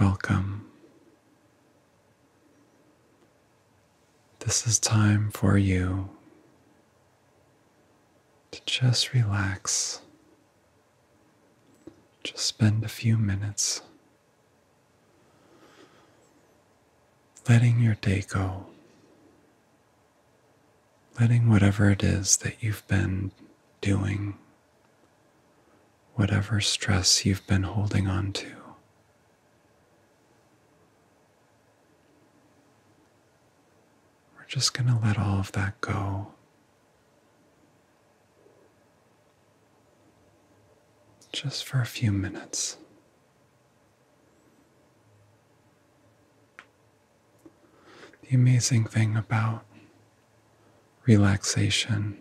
Welcome. This is time for you to just relax. Just spend a few minutes letting your day go, letting whatever it is that you've been doing whatever stress you've been holding on to. We're just going to let all of that go. Just for a few minutes. The amazing thing about relaxation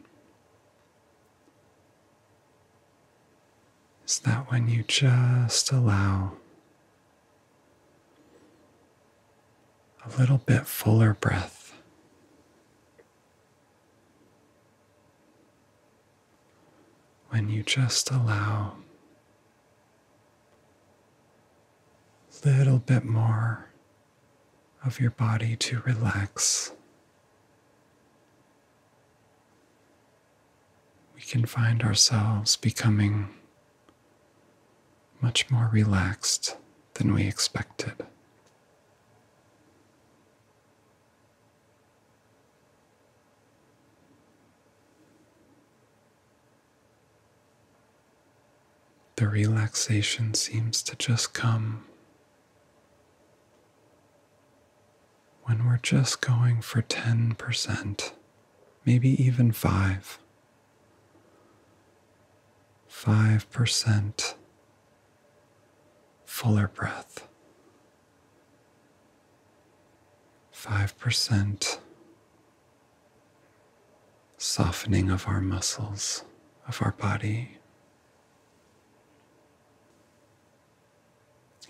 is that when you just allow a little bit fuller breath. When you just allow a little bit more of your body to relax. We can find ourselves becoming much more relaxed than we expected. The relaxation seems to just come when we're just going for 10%, maybe even 5. 5% fuller breath. 5% softening of our muscles, of our body,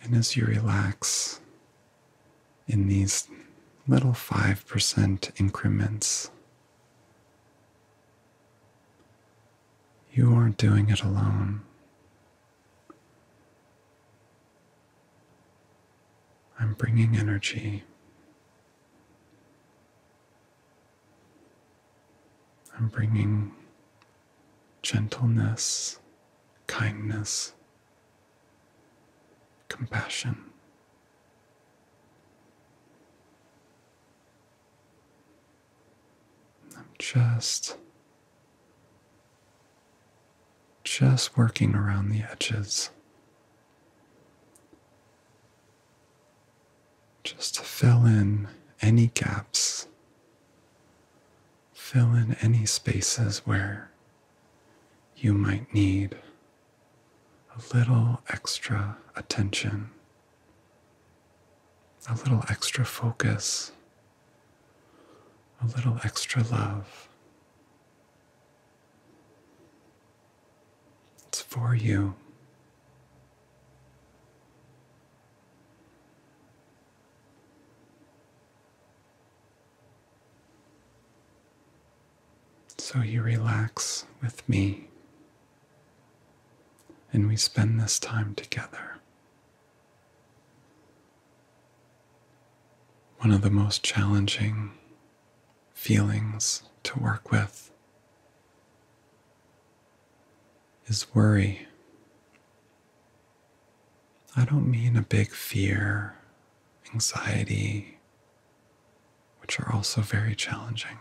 and as you relax in these little 5% increments, you aren't doing it alone. I'm bringing energy I'm bringing gentleness, kindness, compassion. I'm just just working around the edges just to fill in any gaps, fill in any spaces where you might need a little extra attention, a little extra focus, a little extra love. It's for you. So you relax with me, and we spend this time together. One of the most challenging feelings to work with is worry. I don't mean a big fear, anxiety, which are also very challenging,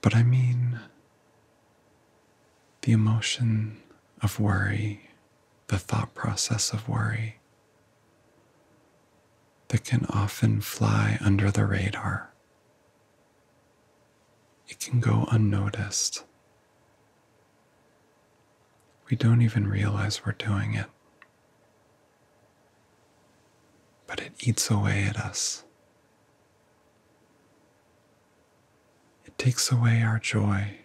but I mean the emotion of worry, the thought process of worry that can often fly under the radar it can go unnoticed. We don't even realize we're doing it, but it eats away at us. It takes away our joy,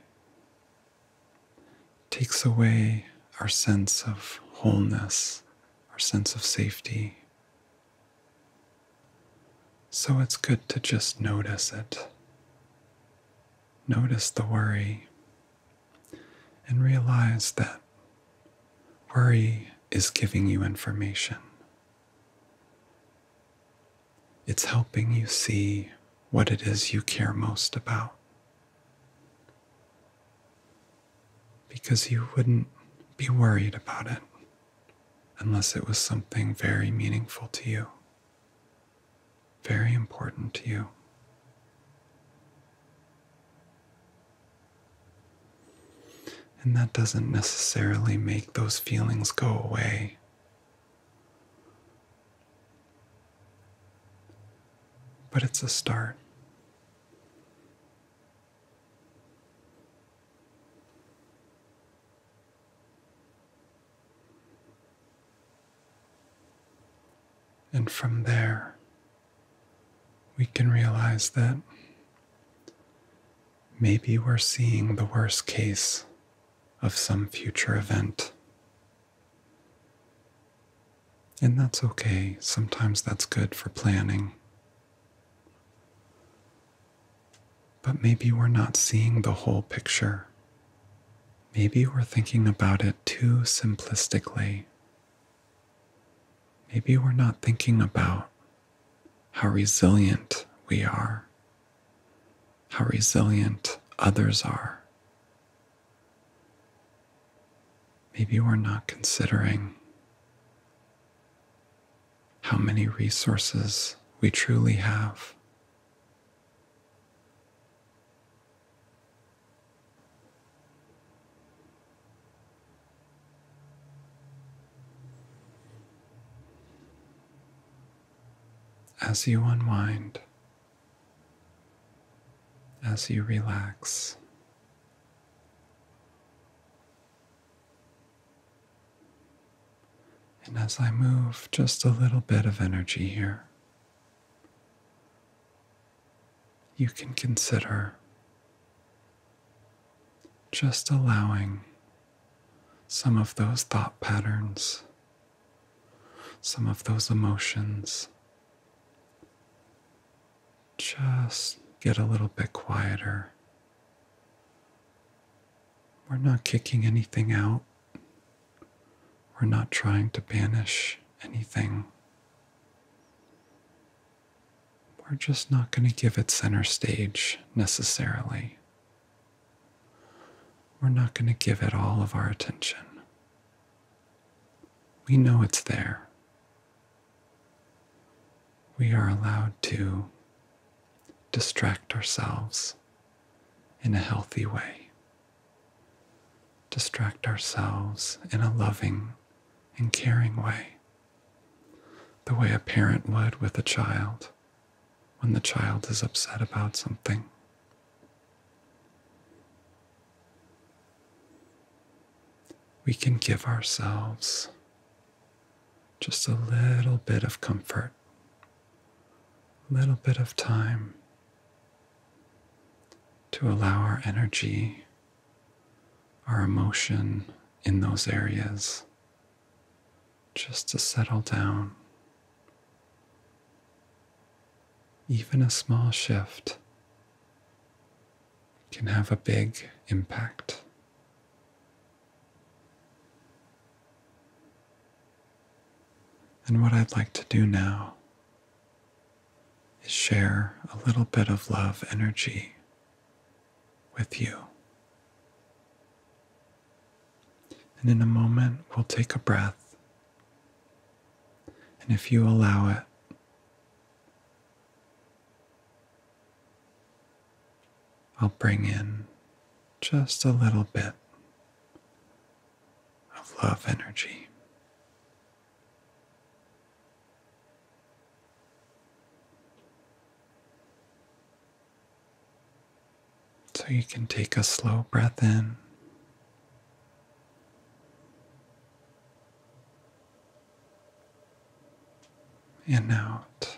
it takes away our sense of wholeness, our sense of safety, so it's good to just notice it. Notice the worry and realize that worry is giving you information. It's helping you see what it is you care most about. Because you wouldn't be worried about it unless it was something very meaningful to you, very important to you. And that doesn't necessarily make those feelings go away. But it's a start. And from there, we can realize that maybe we're seeing the worst case of some future event. And that's okay. Sometimes that's good for planning but maybe we're not seeing the whole picture. Maybe we're thinking about it too simplistically. Maybe we're not thinking about how resilient we are, how resilient others are. Maybe we're not considering how many resources we truly have. As you unwind, as you relax, and as I move just a little bit of energy here, you can consider just allowing some of those thought patterns, some of those emotions, just get a little bit quieter we're not kicking anything out. We're not trying to banish anything. We're just not going to give it center stage necessarily. We're not going to give it all of our attention. We know it's there we are allowed to distract ourselves in a healthy way, distract ourselves in a loving and caring way, the way a parent would with a child when the child is upset about something. We can give ourselves just a little bit of comfort, a little bit of time to allow our energy, our emotion in those areas just to settle down. Even a small shift can have a big impact. And what I'd like to do now is share a little bit of love energy with you. And in a moment, we'll take a breath. And if you allow it, I'll bring in just a little bit of love energy. So you can take a slow breath in. and out.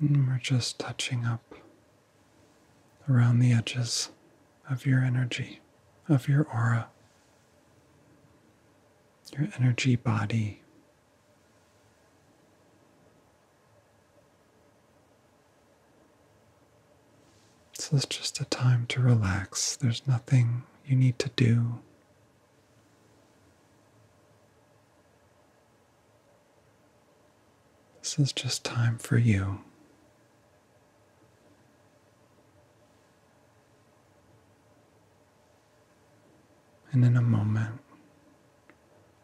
we're just touching up around the edges of your energy, of your aura, your energy body. So it's just a time to relax. There's nothing you need to do. This is just time for you. And in a moment,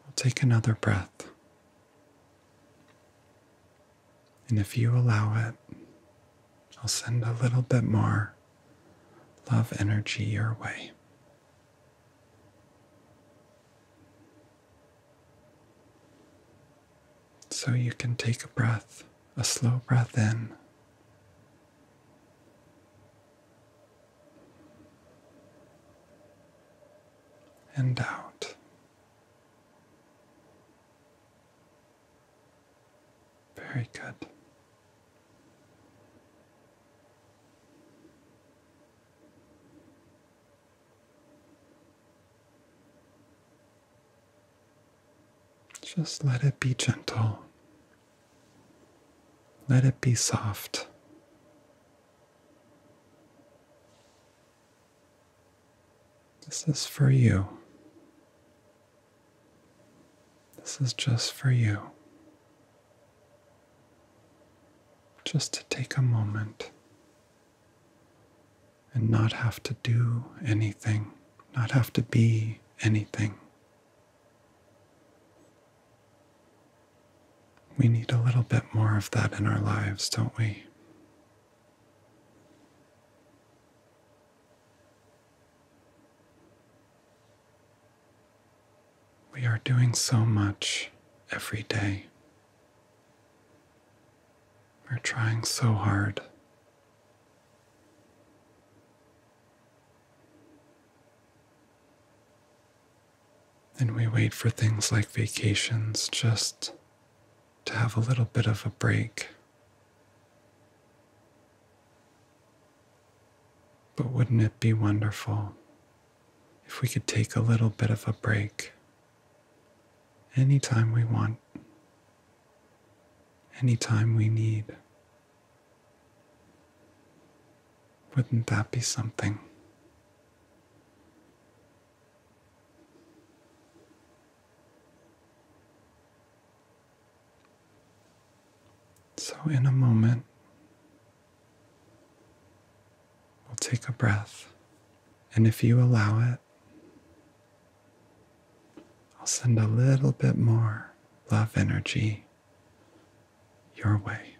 we'll take another breath. And if you allow it, I'll send a little bit more love energy your way. So you can take a breath, a slow breath in. And out. Very good. Just let it be gentle. Let it be soft. This is for you. This is just for you. Just to take a moment and not have to do anything, not have to be anything. We need a little bit more of that in our lives, don't we? We are doing so much every day. We're trying so hard. And we wait for things like vacations just to have a little bit of a break. But wouldn't it be wonderful if we could take a little bit of a break anytime we want, anytime we need. Wouldn't that be something? So, in a moment, we'll take a breath. And if you allow it, I'll send a little bit more love energy your way.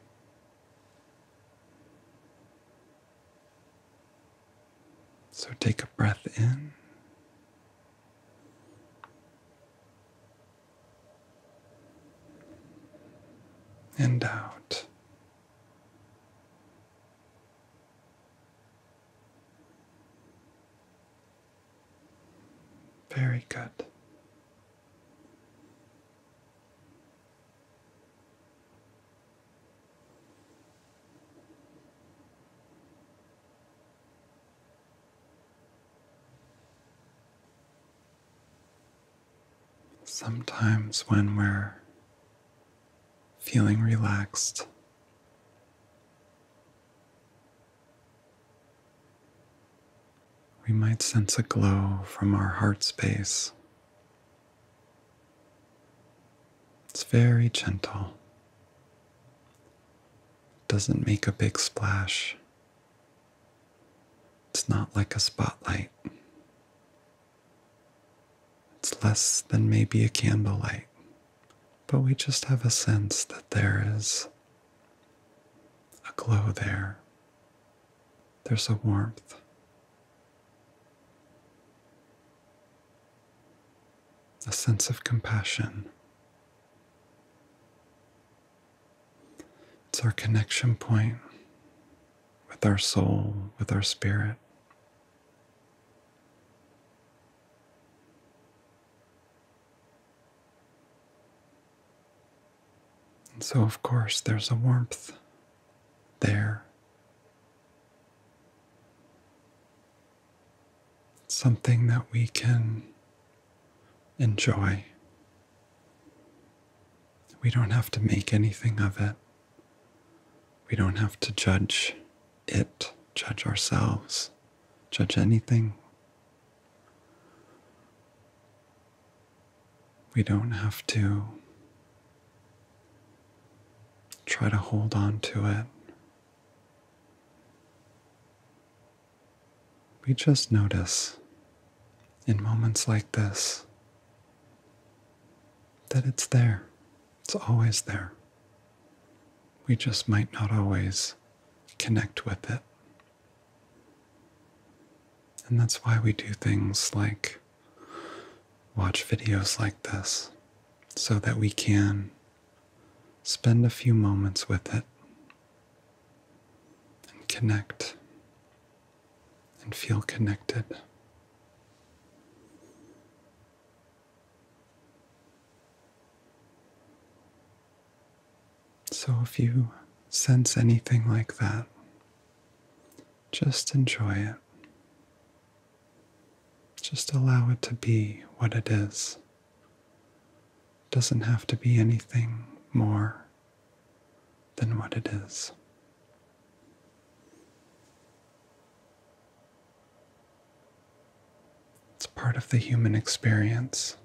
So take a breath in and out. Very good. Sometimes when we're feeling relaxed, we might sense a glow from our heart space. It's very gentle, doesn't make a big splash. It's not like a spotlight. It's less than maybe a candlelight, but we just have a sense that there is a glow there. There's a warmth. A sense of compassion. It's our connection point with our soul, with our spirit. And so, of course, there's a warmth there. Something that we can enjoy we don't have to make anything of it. We don't have to judge it, judge ourselves, judge anything. We don't have to try to hold on to it. We just notice in moments like this that it's there, it's always there. We just might not always connect with it. And that's why we do things like watch videos like this, so that we can spend a few moments with it and connect and feel connected. So, if you sense anything like that, just enjoy it. Just allow it to be what it is. It doesn't have to be anything more than what it is. It's part of the human experience.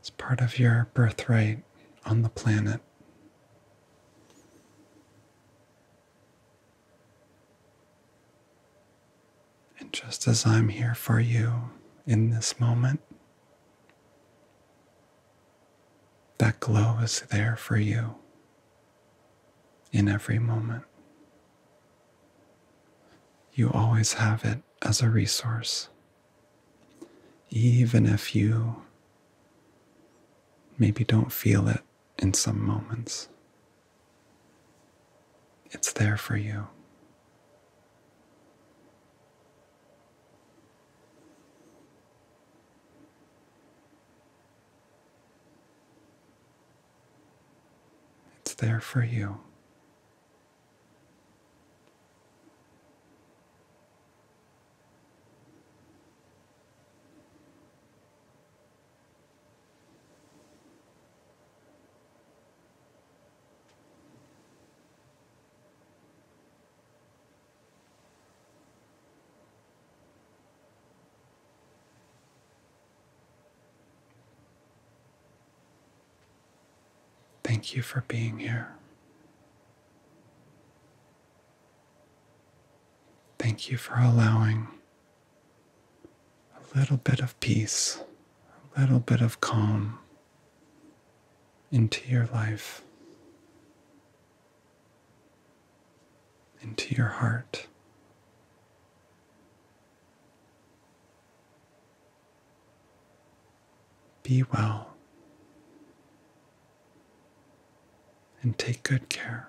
It's part of your birthright on the planet. And just as I'm here for you in this moment, that glow is there for you in every moment. You always have it as a resource, even if you maybe don't feel it in some moments. It's there for you. It's there for you. Thank you for being here. Thank you for allowing a little bit of peace, a little bit of calm into your life, into your heart. Be well and take good care.